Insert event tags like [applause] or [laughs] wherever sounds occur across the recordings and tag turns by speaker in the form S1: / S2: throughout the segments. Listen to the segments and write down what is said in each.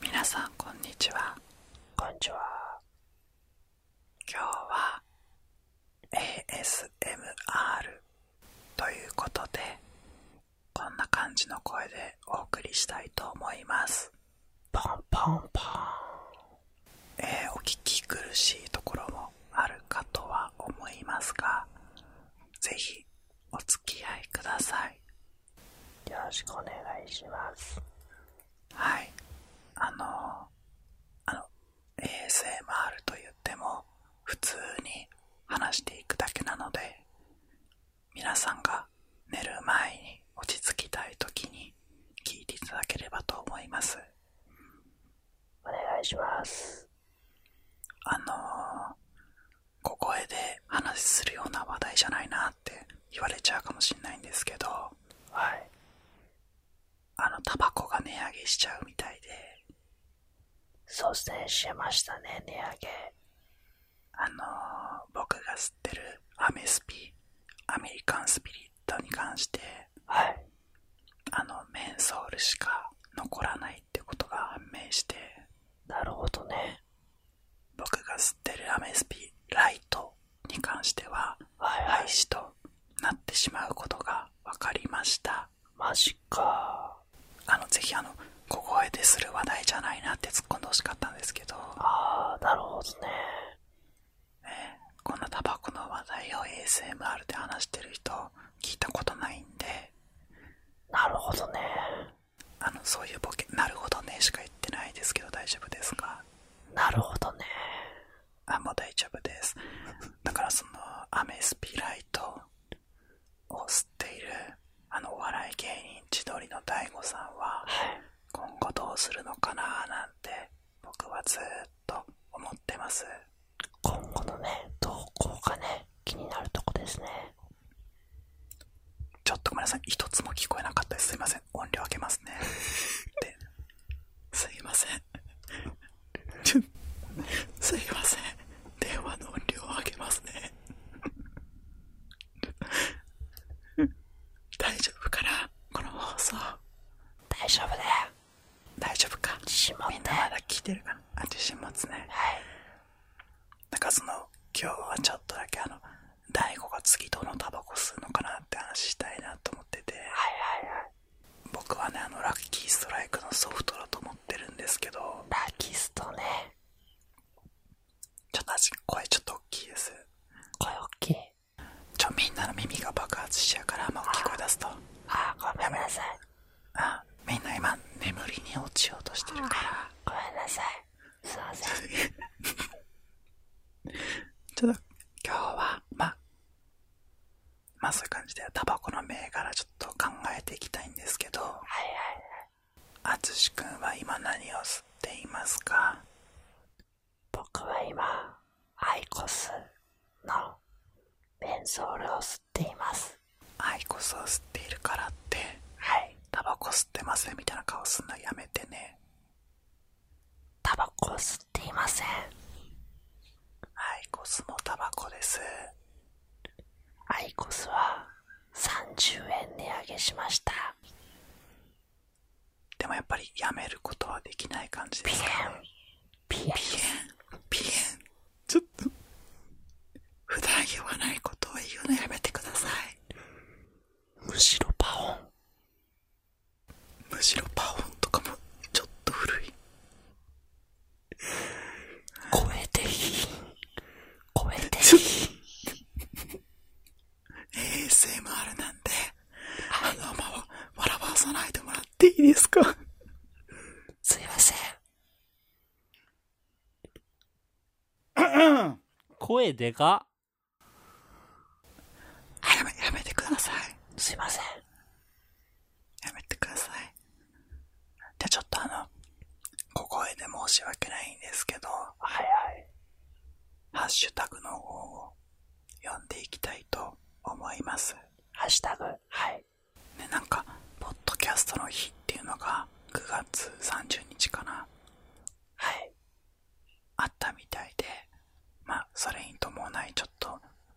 S1: 皆さんこんにちはこんにちは今日は ASMR ということでこんな感じの声でお送りしたいと思いますポンポンポン、えお聞き苦しいところもあるかとは思いますが是非お付き合いくださいよろしくお願いしますはいあのあの ASMR と言っても普通に話していくだけなので皆さんが寝る前に落ち着きたい時に聞いていただければと思いますお願いしますあのここ声で話するような話題じゃないなって言われちゃうかもしんないんですけどはいあのタバコが値上げしちゃうみたいでそうですねしましたね値上げあの僕が吸ってるアメスピアメリカンスピリットに関してはいあのメンソールしか残らないってことが判明してなるほどね僕が吸ってるアメスピライトに関しては廃止となってしまうことが分かりましたマジかあのぜひあの小声でする話題じゃないなって突っ込んでほしかったんですけどああなるほどねえこんなタバコの話題を ASMR で話してる人聞いたことないんでなるほどねあのそういうボケ「なるほどね」しか言ってないですけど大丈夫ですかなるほどねあもう大丈夫ですだからそのアメスピライトを吸っているあのお笑い芸人千鳥の daigo さんは、今後どうするのかななんて僕はずっと思ってます今後のね動向がね気になるとこですねちょっとごめんなさい。一つも聞こえなかったです。いません。音量上げますね。[laughs] ですいません。すいません。電話の音量上げますね。大丈夫かなこの放送。大丈夫だよ。大丈夫かみんなまだ聞いてるかなあ、自信持つね。はい。なんかその、今日はちょっとだけあの、大悟が次どのタバコ吸うのかなって話したいなと思っててはいはいはい僕はねあのラッキーストライクのソフトだと思ってるんですけどラッキーストねちょっと声ちょっと大きいです声大きいちょみんなの耳が爆発しちゃうからあんま大きい声出すとああごめんなさいあみんな今眠りに落ちようとしてるからごめんなさいすいません。ちょっと今日は、まあ、そういう感じでタバコの銘柄ちょっと考えていきたいんですけど、はいはいはい。あつしくんは今何を吸っていますか僕は今、アイコスのベンソールを吸っています。アイコスを吸っているからって、はい。タバコ吸ってますみたいな顔すんのやめてね。タバコ吸っていません。アイコスのタバコです。アイコスは30円値上げしました。でもやっぱりやめることはできない感じですピエン、ピエン、ピエン。ちょっと、ふだん言わないことを言うのやめてください。むしろパオンむしろパオンとかもちょっと古い超えていい超えていい ASMR なんで、あのまま笑わさないでもらっていいですか
S2: すいません声でかやめ、てください。
S1: すいません。やめてください。じゃあちょっとあの、小声で申し訳ないんですけど、はいはい。ハッシュタグの方を読んでいきたいと思います。ハッシュタグ。はい。ね、なんか、ポッドキャストの日っていうのが9月30日かな。はいあったみたいでまそれに伴いちょっと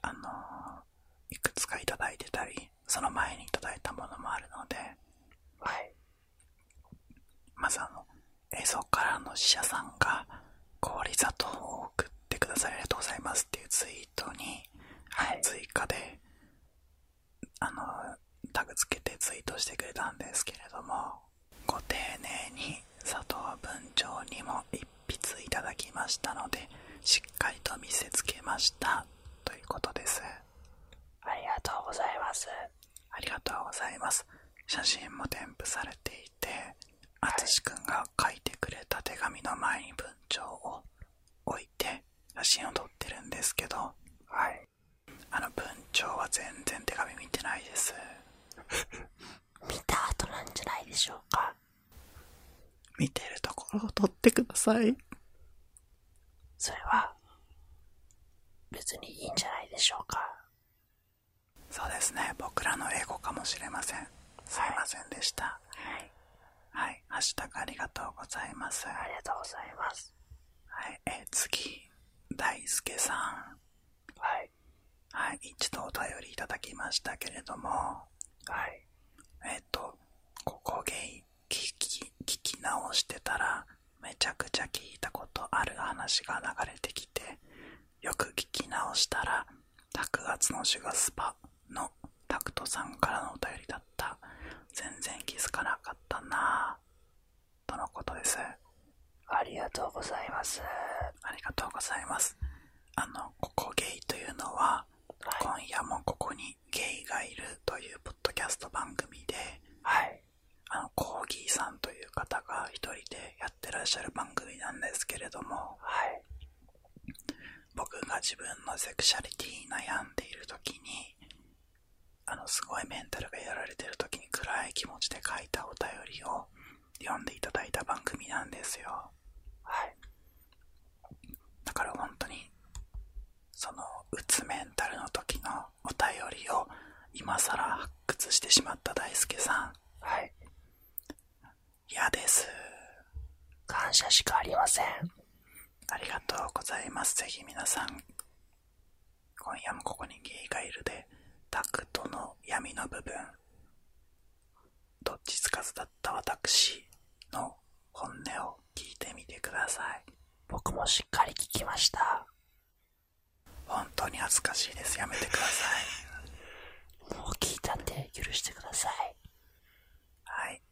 S1: あのいくつか頂いてたりその前に頂いたものもあるのでまずあの映像からの使者さんが氷砂糖を送ってくださりありがとうございますっていうツイートに、追加であのタグつけてツイートしてくれたんですけれどもご丁寧に佐藤文長にも一筆いただきましたのでしっかりと見せつけましたということですありがとうございますありがとうございます写真も添付されていて淳くんが書いてくれた手紙の前に文鳥を置いて写真を撮ってるんですけど、はい、あの文鳥は全然手紙見てないです。見た後なんじゃないでしょうか。
S2: 見てるところを撮ってください。
S1: それは、別にいいんじゃないでしょうか。そうですね。僕らのエゴかもしれません。すいませんでした。はい。はい。ハッありがとうございます。ありがとうございます。次、大輔さん。一度お便りいただきましたけれども、ここゲイ聞き、直してたら、めちゃくちゃ聞いたことある話が流れてきて、よく聞き直したら、卓月のシュガスパのタクトさんからのお便りだった。全然気づかなかったなぁ。とのことです。ありがとうございます。ありがとうございます。あの、ここゲイというのは、今夜もここにゲイがいるというポッドキャスト番組で、あの、コーギーさんという方が1人でやってらっしゃる番組なんですけれども、僕が自分のセクシャリティに悩んでいる時に、あのすごいメンタルがやられてる時に暗い気持ちで書いたお便りを読んでいただいた番組なんですよはいだから本当にそのうつメンタルの時のお便りを今さら発掘してしまった大輔さんはい嫌です感謝しかありませんありがとうございますぜひ皆さん今夜もここにゲイがいるでタクトの闇の部分どっちつかずだった私の本音を聞いてみてください僕もしっかり聞きました本当に恥ずかしいですやめてください [laughs] もう聞いたんで許してくださいはい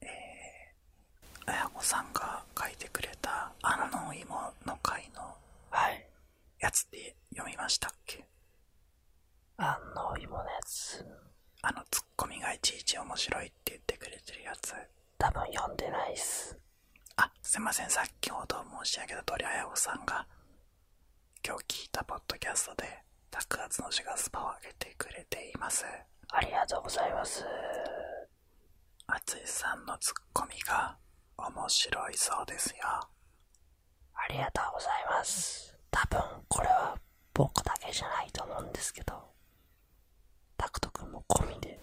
S1: え綾子さんが書いてくれた「あの芋の会」のやつって読みましたっけあの芋のやつあのツッコミがいちいち面白いって言ってくれてるやつ多分読んでないっすあすいません先ほど申し上げた通り綾子さんが今日聞いたポッドキャストで「タックアのシがスパを上げてくれていますありがとうございます淳さんのツッコミが面白いそうですよありがとうございます多分これは僕だけじゃないと思うんですけどタクくんも込みで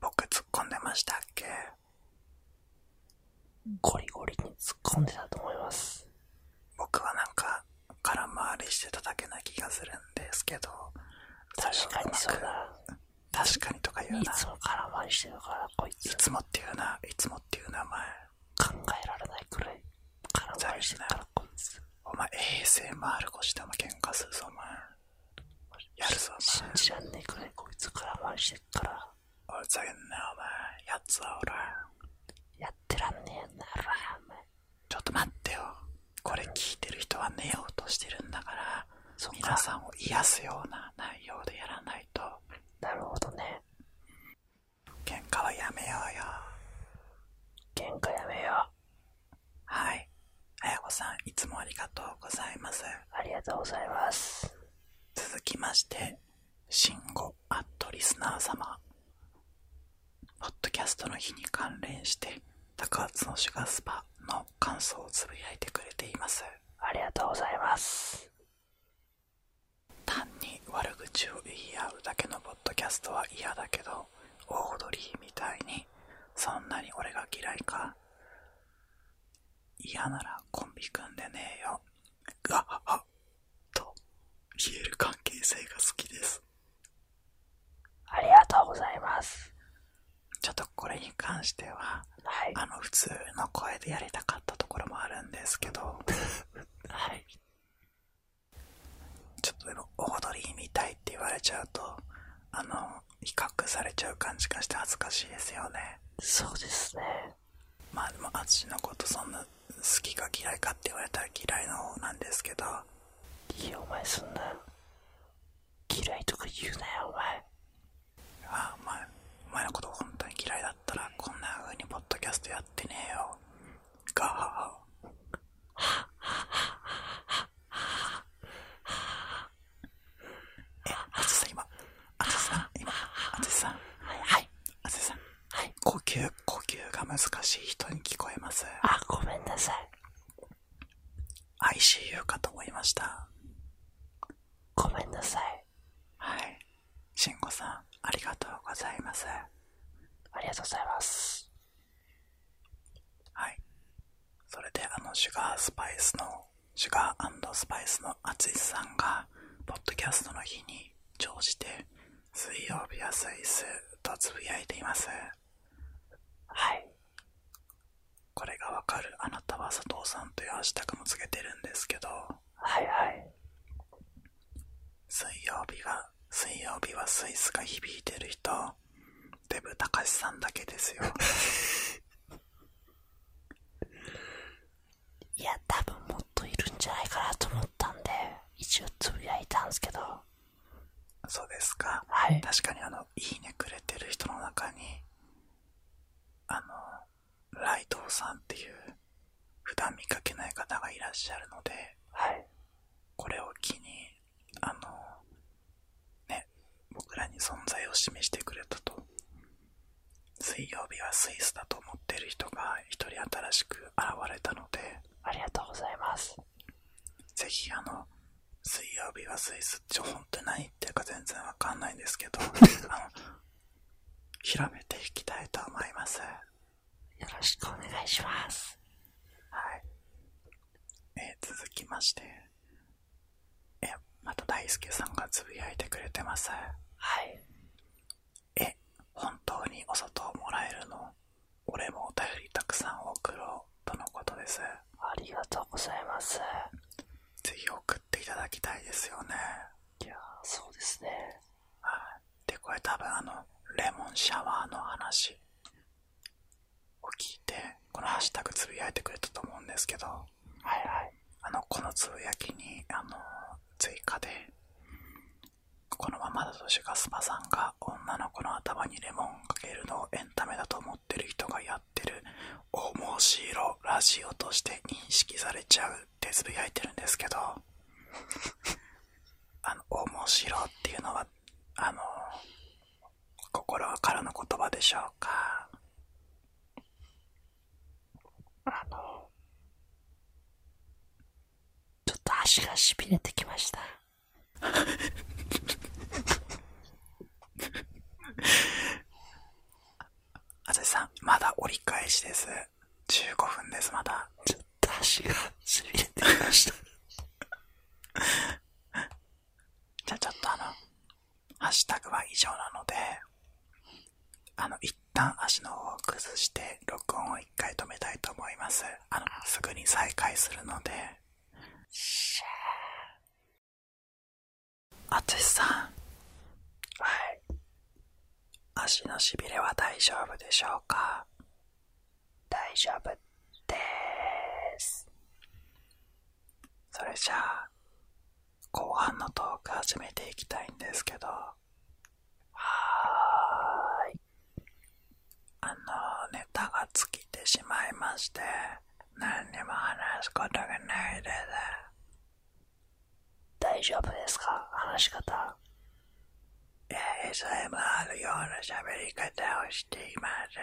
S1: 僕突っ込んでましたっけゴリゴリに突っ込んでたと思います僕はなんか空回りしてただけな気がするんですけど、確かに確かにとか言うな。いつも空回りしてるから、こいつ。いつもっていうな、いつもっていう名前。考えられないくらい空回りしてるから、こいつ。お前、ASMR 越しでも喧嘩するぞ、お前。やるぞ、お前。信じらんねえくらい、こいつ空回りしてから。お前。やつはおら。やってらんねえなら、お前。ちょっと待ってよ。これ聞いてる人は寝ようとしてるんだから、そ皆さんを癒すような内容でやらないと、なるほどね。喧嘩はやめようよ。喧嘩やめよう。はい。あやこさん、いつもありがとうございます。ありがとうございます。続きまして、しんごアットリスナー様。ポッドキャストの日に関連して、高津のシュガスパの感想をつぶやいてくれています。ありがとうございます。単に悪口を言い合うだけのポッドキャストは嫌だけど、オードリーみたいに、そんなに俺が嫌いか嫌ならコンビ組んでねえよ。がははと言える関係性が好きです。ありがとうございます。ちょっとこれに関しては、あの、普通の声でやりたかったところもあるんですけど、はい。ちょっとでもオードみたいって言われちゃうと、あの、比較されちゃう感じがして恥ずかしいですよね。そうですね。まあでも、淳のことそんな好きか嫌いかって言われたら嫌いの方なんですけど、いいお前すんな。嫌いとか言うなよお前ああお前お前のこと本当に嫌いだったらこんな風にポッドキャストやってねえよガハハハハハハハえあつさん今あつさん今あつさんはいあつさんはい呼吸呼吸が難しい人に聞こえますあごめんなさい ICU かと思いました。ごめんなさい。はい。慎吾さん、ありがとうございます。ありがとうございます。はい。それで、あの、シュガースパイスの、シュガースパイスのあいさんが、ポッドキャストの日に乗じて、水曜日はスイスとつぶやいています。はい。これがわかるあなたは佐藤さんというハッシタグもつけてるんですけどはいはい水曜日は水曜日はスイスが響いてる人デブたかしさんだけですよいや多分もっといるんじゃないかなと思ったんで一応つぶやいたんですけどそうですか、確かにあの「いいね」くれてる人の中にあのライトさんっていう普段見かけない方がいらっしゃるので、これを機にあのね僕らに存在を示してくれたと水曜日はスイスだと思ってる人が1人新しく現れたのでありがとうございますぜひあの、水曜日はスイス、ちょ、本当に何言ってるか全然わかんないんですけど、[laughs] 広めていきたいと思います。よろしくお願いします。はい。え続きまして、え、また大輔さんがつぶやいてくれてます。はい。え、本当にお砂糖もらえるの俺もお便りたくさん送ろうとのことですありがとうございますぜひ送っていただきたいですよねいやそうですねはいでこれ多分あのレモンシャワーの話を聞いてこのハッシュタグつぶやいてくれたと思うんですけどはいはいあのこのつぶやきにあの追加でこのままだとシュガスパさんが女の子の頭にレモンかけるのをエンタメだと思って。てる人がやってる面白ラジオとして認識されちゃうってつぶやいてるんですけど [laughs] あの面白っていうのはあの心からの言葉でしょうかあのちょっと足がしびれてきましたあずさん、まだ折り返しです。15分です、まだ。ちょっと足がり減ってきました。じゃあちょっとあの、ハッシュタグは以上なので、あの、一旦足の方を崩して、録音を1回止めたいと思います。あの、すぐに再開するので。あつしさん。はい。足のしびれは大丈夫でしょうか大丈夫でーす。それじゃあ、後半のトーク始めていきたいんですけど。はーい。あの、ネタが尽きてしまいまして、何にも話すことがないです。大丈夫ですか話し方。ASMR ような喋り方をしています。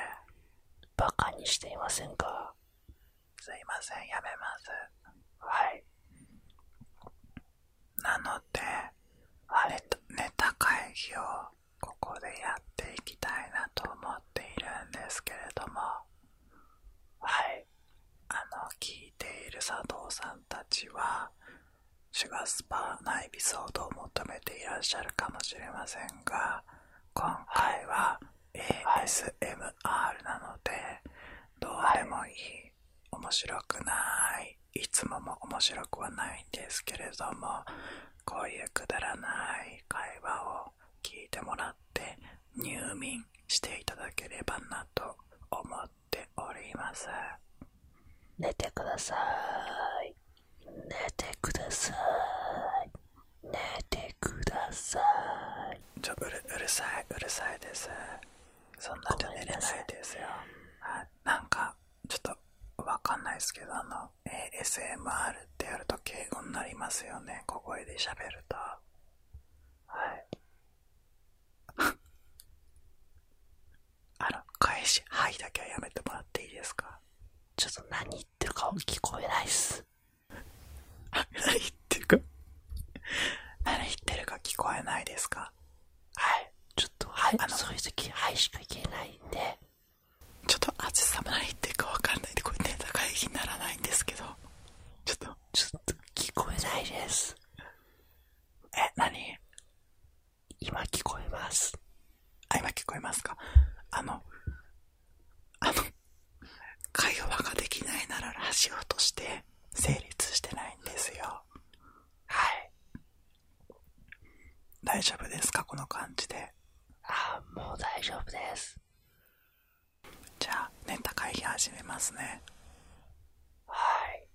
S1: バカにしていませんかすいません、やめます。はい。なので、あれと、ネタ会議をここでやっていきたいなと思っているんですけれどもはいあの聞いている佐藤さんたちはシュガースパーなエピソードを求めていらっしゃるかもしれませんが今回は ASMR なのでどうでもいい面白くないいつもも面白くはないんですけれどもこういうくだらない会話を聞いてもらって入眠していただければなと思っております寝てください寝てください寝てくださいちょうるさいうるさいですそんなじ寝れないですよなんかちょっとわかんないですけどあのの ASMR ってやると敬語になりますよね小声で喋るとはいあの返し「はい」だけはやめてもらっていいですかちょっと何言ってるか聞こえないっす [laughs] 何言ってるか何言ってるか聞こえないですかはいちょっとはいあのそういう時「はい」しかいけないんでちょっと暑さも何言っていうかわかんないんで、これいうタ会議にならないんですけど、ちょっと、ちょっと聞こえないです。え、何今聞こえます。あ、今聞こえますかあの、あの、会話ができないならラジオとして成立してないんですよ。はい。大丈夫ですかこの感じで。あもう大丈夫ですじゃあネタ会議始めますねはい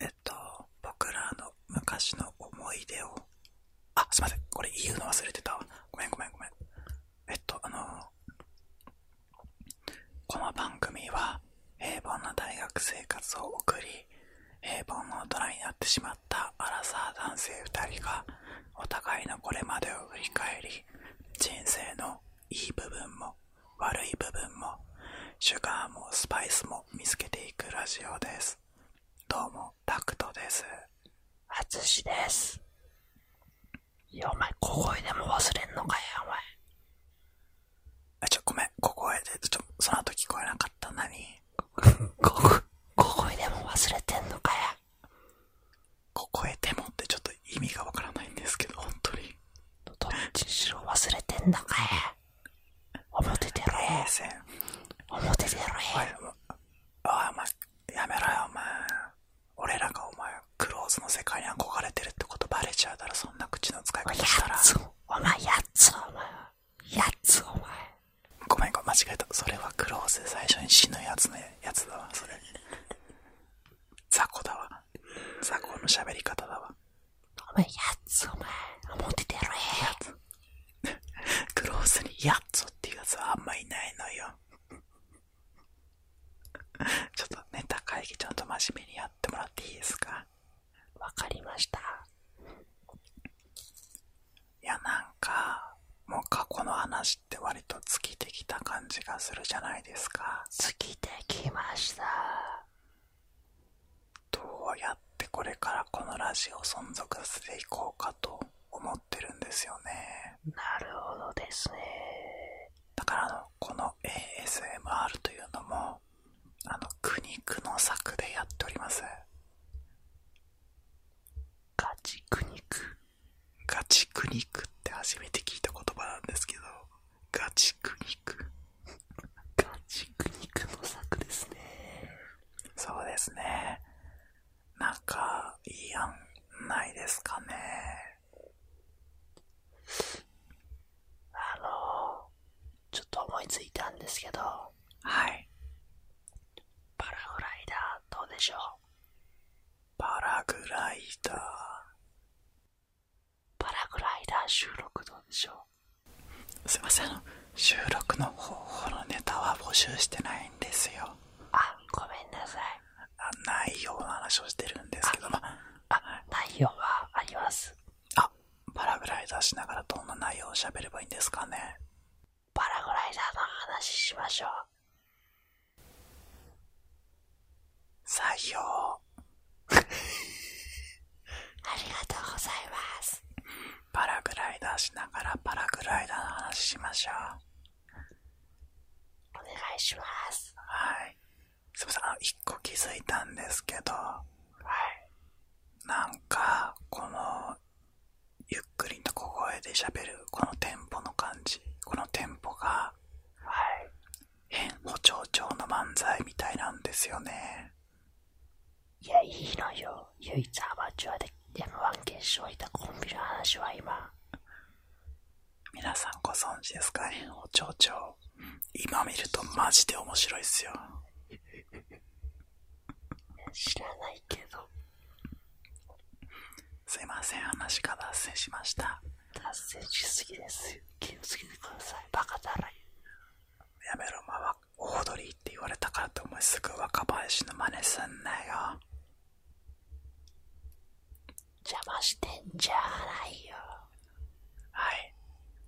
S1: えっと僕らの昔の思い出をあすいませんこれ言うの忘れてたわごめんごめんごめんえっとあのこの番組は平凡な大学生活を送り平凡の大人になってしまったアラサー男性2人がお互いのこれまでを振り返り人生のいい部分も悪い部分もシュガーもスパイスも見つけていくラジオですどうもタクトですあつですいやお前小声でも忘れんのかよお前あちょっごめん小声でちょっとその後聞こえなかった何こ、ここへでも忘れてんのかや。ここへでもってちょっと意味がわからないんですけど、本当に。どっちにしろ忘れてんのかや。表出ろや。表出ろや。おい、おやめろよ、お前。俺らがお前、クローズの世界に憧れてるってことバレちゃうだらそんな口の使い方したら。お前やっつお前は。やつ、お前。ごめん、ごめん、間違えた。それはクローズで最初に死ぬやつのやつだわ、それ。雑魚だわ。雑魚の喋り方だわ。お前、やつ、お前。モテてやろ、えやつ。クローズにやつっていうやつはあんまいないのよ。ちょっとネタ会議ちゃんと真面目にやってもらっていいですかわかりました。いやなんかもう過去の話って割と尽きてきた感じがするじゃないですか尽きてきましたどうやってこれからこのラジオ存続していこうかと思ってるんですよねなるほどですねだからあのこの ASMR というのもあの苦肉の策でやっておりますガチクニクガチクニクって初めて聞いた言葉なんですけどガチクニクガチクニクの作ですねそうですねなんかいい案ないですかねあのちょっと思いついたんですけどはいパラグライダーどうでしょうパラグライダー。パラグライダー収録どうでしょうすいません、収録の方法のネタは募集してないんですよ。あ、ごめんなさい。内容の話をしてるんですけど、まあ内容はあります。あ、パラグライダーしながらどんな内容を喋ればいいんですかねパラグライダーの話しましょう。採用。[laughs] ありがとうございます。パラグライダーしながらパラグライダーの話しましょう。お願いします。はい。すいません、あの、一個気づいたんですけど、はい。なんか、このゆっくりと小声で喋るこのテンポの感じこのテンポがはい変補聴調の漫才みたいなんですよねいやいいのよ唯一アマチュアで M1 決勝いたコンビの話は今皆さんご存知ですか変補聴調今見るとマジで面白いっすよ [laughs] 知らないけどすいません、話が脱線しました。達成しすぎです気をつけてください。バカだらい。やめろ、まあ、おードリーって言われたからと思いすぐ若林の真似すんなよ。邪魔してんじゃないよ。はい。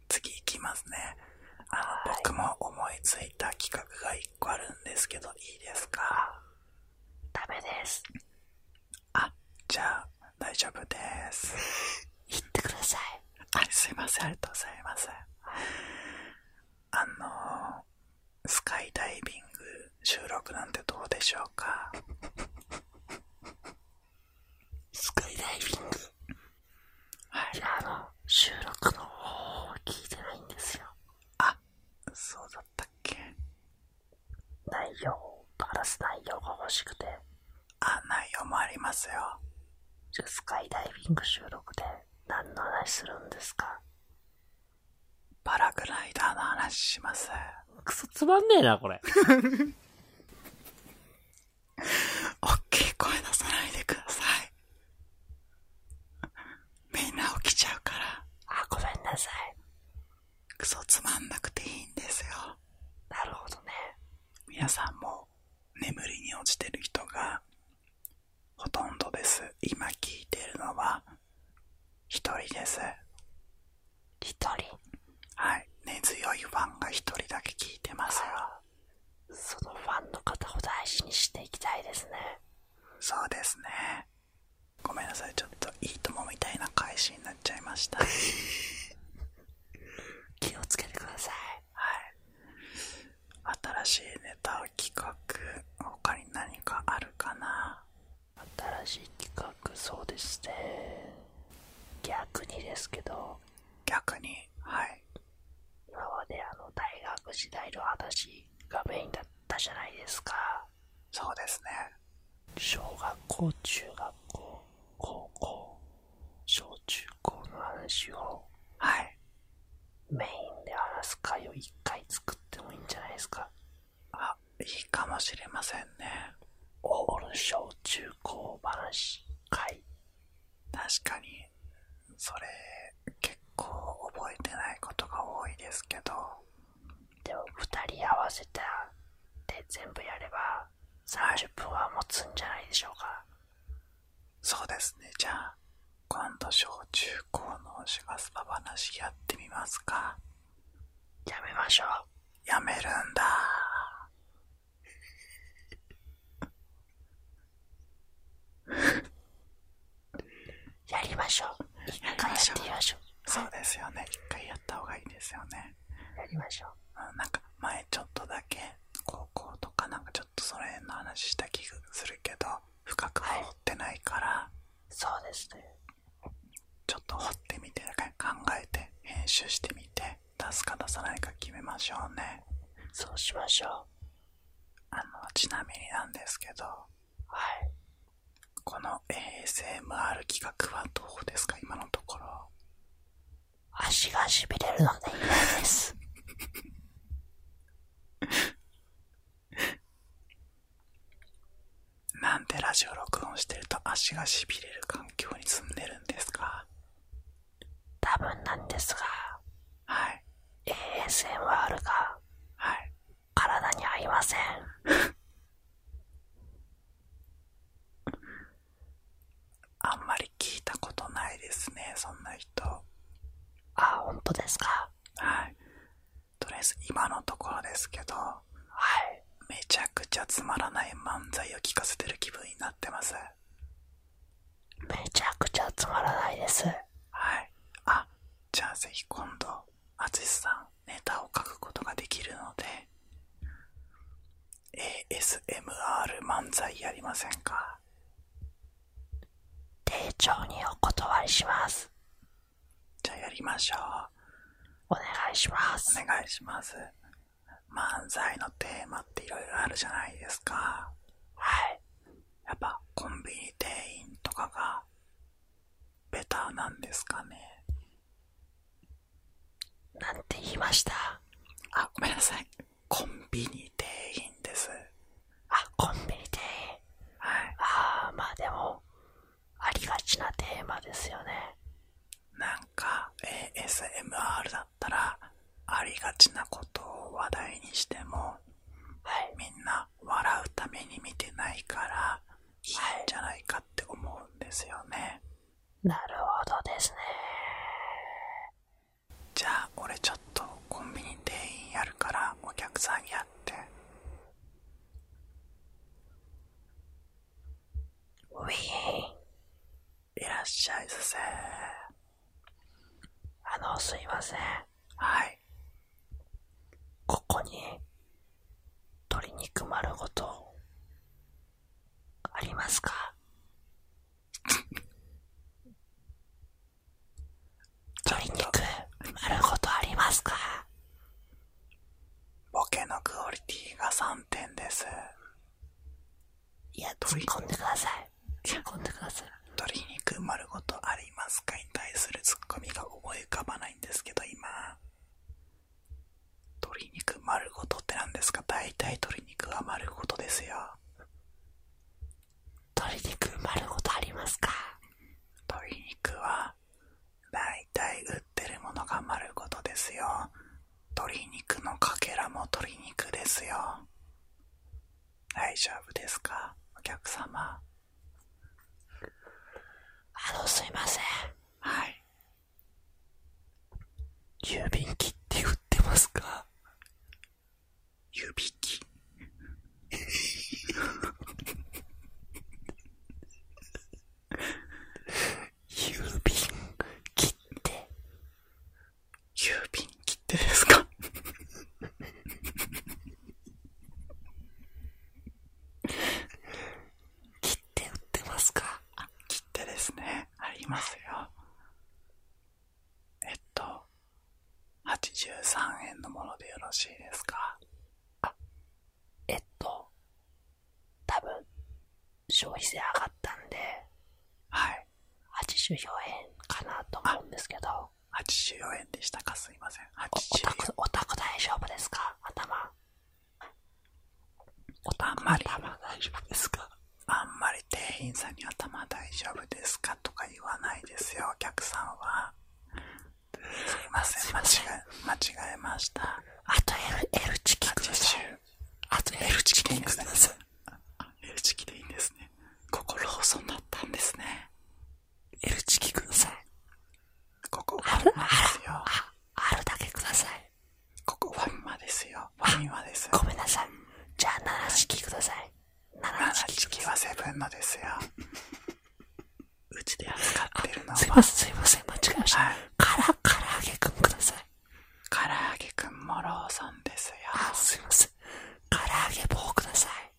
S1: 次行きますね。あの、僕も思いついた企画が一1個るんですけど、いいですかダメです。あ、じゃあ、大丈夫です。[laughs] 言ってください。あ、すいません、ありがとうございます。あの、スカイダイビング収録なんてどうでしょうかスカイダイビング。はい。あの、収録の方法を聞いてないんですよ。あ、そうだったっけ内容バラす内容が欲しくてあ内容もありますよじゃスカイダイビング収録で何の話するんですかバラグライダーの話しますクソつまんねえなこれおっきい声出さないでくださいみんな起きちゃうから。あ、ごめんなさい。クソつまんなくていいんですよ。なるほどね。皆さんも眠りに落ちてる人がほとんどです。今聞いてるのは1人です。1人はい。根強いファンが1人だけ聞いてますよ。そのファンの方を大事にしていきたいですね。そうですねごめんなさいちょっといいともみたいな返しになっちゃいました [laughs] 気をつけてくださいはい新しいネタ企画他に何かあるかな新しい企画そうですね逆にですけど逆にはい今まであの大学時代の話がメインだったじゃないですか。そうですね。小学校、中学校、高校、小中高の話を、はい。メインで話す回を一回作ってもいいんじゃないですか。あ、いいかもしれませんね。オール小中高話い。確かに。それ結構覚えてないことが多いですけどでも2人合わせたで全部やれば30分は持つんじゃないでしょうかそうですねじゃあ今度小中高のシガスパ話やってみますかやめましょうやめるんだやりましょう一回やってみましょうそうですよね一回やった方がいいですよねやりましょう、うん、なんか前ちょっとだけ高校とかなんかちょっとその辺の話した気がするけど深く掘ってないから、そうですねちょっと掘ってみて考えて編集してみて出すか出さないか決めましょうねそうしましょうあのちなみになんですけどはい。この ASMR 企画はどうですか今のところ。足がしびれるので嫌です。[laughs] なんでラジオ録音してると足がしびれる環境に住んでるんですか多分なんですが。はい。ASMR が、はい、体に合いません [laughs] あんまり聞いたことないですねそんな人あ本当ですかはいとりあえず今のところですけどめちゃくちゃつまらない漫才を聞かせてる気分になってますめちゃくちゃつまらないですはいあじゃあぜひ今度、あつしさんネタを書くことができるので、ASMR 漫才やりませんか丁重にお断りします。じゃあやりましょう。お願いします。お願いします。漫才のテーマっていろいろあるじゃないですか。はい。やっぱコンビニ店員とかがベターなんですかねなんて言いましたあ、ごめんなさい。コンビニ店員です。あ、コンビニ店員。はい。ああ、まあでも、ありがちなテーマですよね。なんか、ASMR だったら、ありがちなことを話題にしても、はい、みんな笑うために見てないからいいんじゃないかって思うんですよね、なるほどですねじゃあ俺ちょっとコンビニ店員やるからお客さんやってウィーンいらっしゃいさせあのすいませんはい。ここに、鶏肉丸ごと、ありますか [laughs] 鶏肉丸ごとありますかボケのクオリティが3点です。いや、突っ込んでください。突っ込んでください。鶏肉丸ごとありますかに対するツッコミが思い浮かばないんですけど今鶏肉丸ごとって何ですか大体鶏肉は丸ごとですよ鶏肉丸ごとありますか鶏肉は大体売ってるものが丸ごとですよ鶏肉のかけらも鶏肉ですよ大丈夫ですかお客様あの、すいません。はい。郵便機って売ってますか郵便機郵便切って郵便切ってですか切手売ってますか切手ですね。ありますよ。えっと、83円のものでよろしいですかあ、えっと、多分、消費税上がったんで、はい。84円かなと思うんですけど。の84円でしたかすいません84おた大丈夫ですか頭おんまりあんまり店員さんに頭大丈夫ですかとか言わないですよお客さんはすいません間違えましたあと L, L チキンくチキでいいんですねここロったんですね L チキください。ここフあ、るだけください。ここファですよ。ごめんなさい。じゃあ7チキください。はセブンのですよ。うちで扱ってるのは。すいません、すいません、間違えました。はい、から、から揚げくんください。から揚げくんもローソンですよ。あ、すいません。から揚げ棒ください。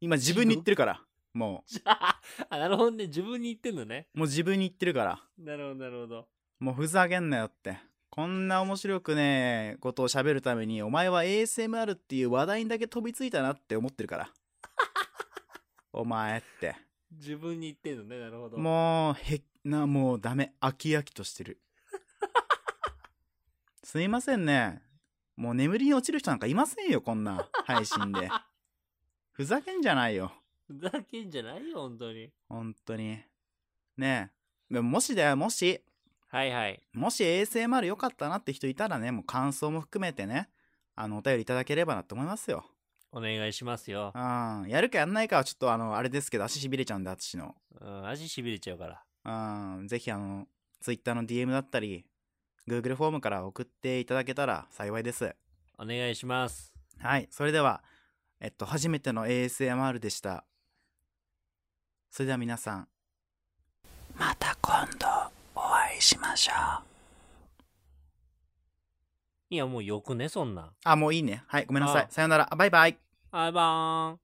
S2: 今自分に言ってるから。もう [laughs] なるほどね。自分に言ってんのね。もう自分に言ってるから。なるほど、なるほど。もうふざけんなよって。こんな面白くねえことを喋るために、お前は ASMR っていう話題にだけ飛びついたなって思ってるから。[laughs] お前って。自分に言ってんのね。なるほど。もう、へ、な、もうダメ。飽き飽きとしてる。[laughs] すいませんね。もう眠りに落ちる人なんかいませんよ、こんな配信で。[laughs] ふざけんじゃないよ。ふざけんじゃないよ、本当に。本当に。ねえ。もしだよ、もし。はいはい。もし ASMR 良かったなって人いたらね、もう感想も含めてね、あの、お便りいただければなと思いますよ。お願いしますよ。うん。やるかやんないかはちょっとあの、あれですけど、足しびれちゃうんで、私の。うん、足しびれちゃうから。うん。ぜひあの、Twitter の DM だったり、Google フォームから送っていただけたら幸いです。お願いします。はい、それでは、えっと、初めての ASMR でした。それでは皆さん、また今度お会いしましょう。いや、もうよくね、そんな。あ、もういいね。はい、ごめんなさい。さよなら。バイバイ。バイバーン。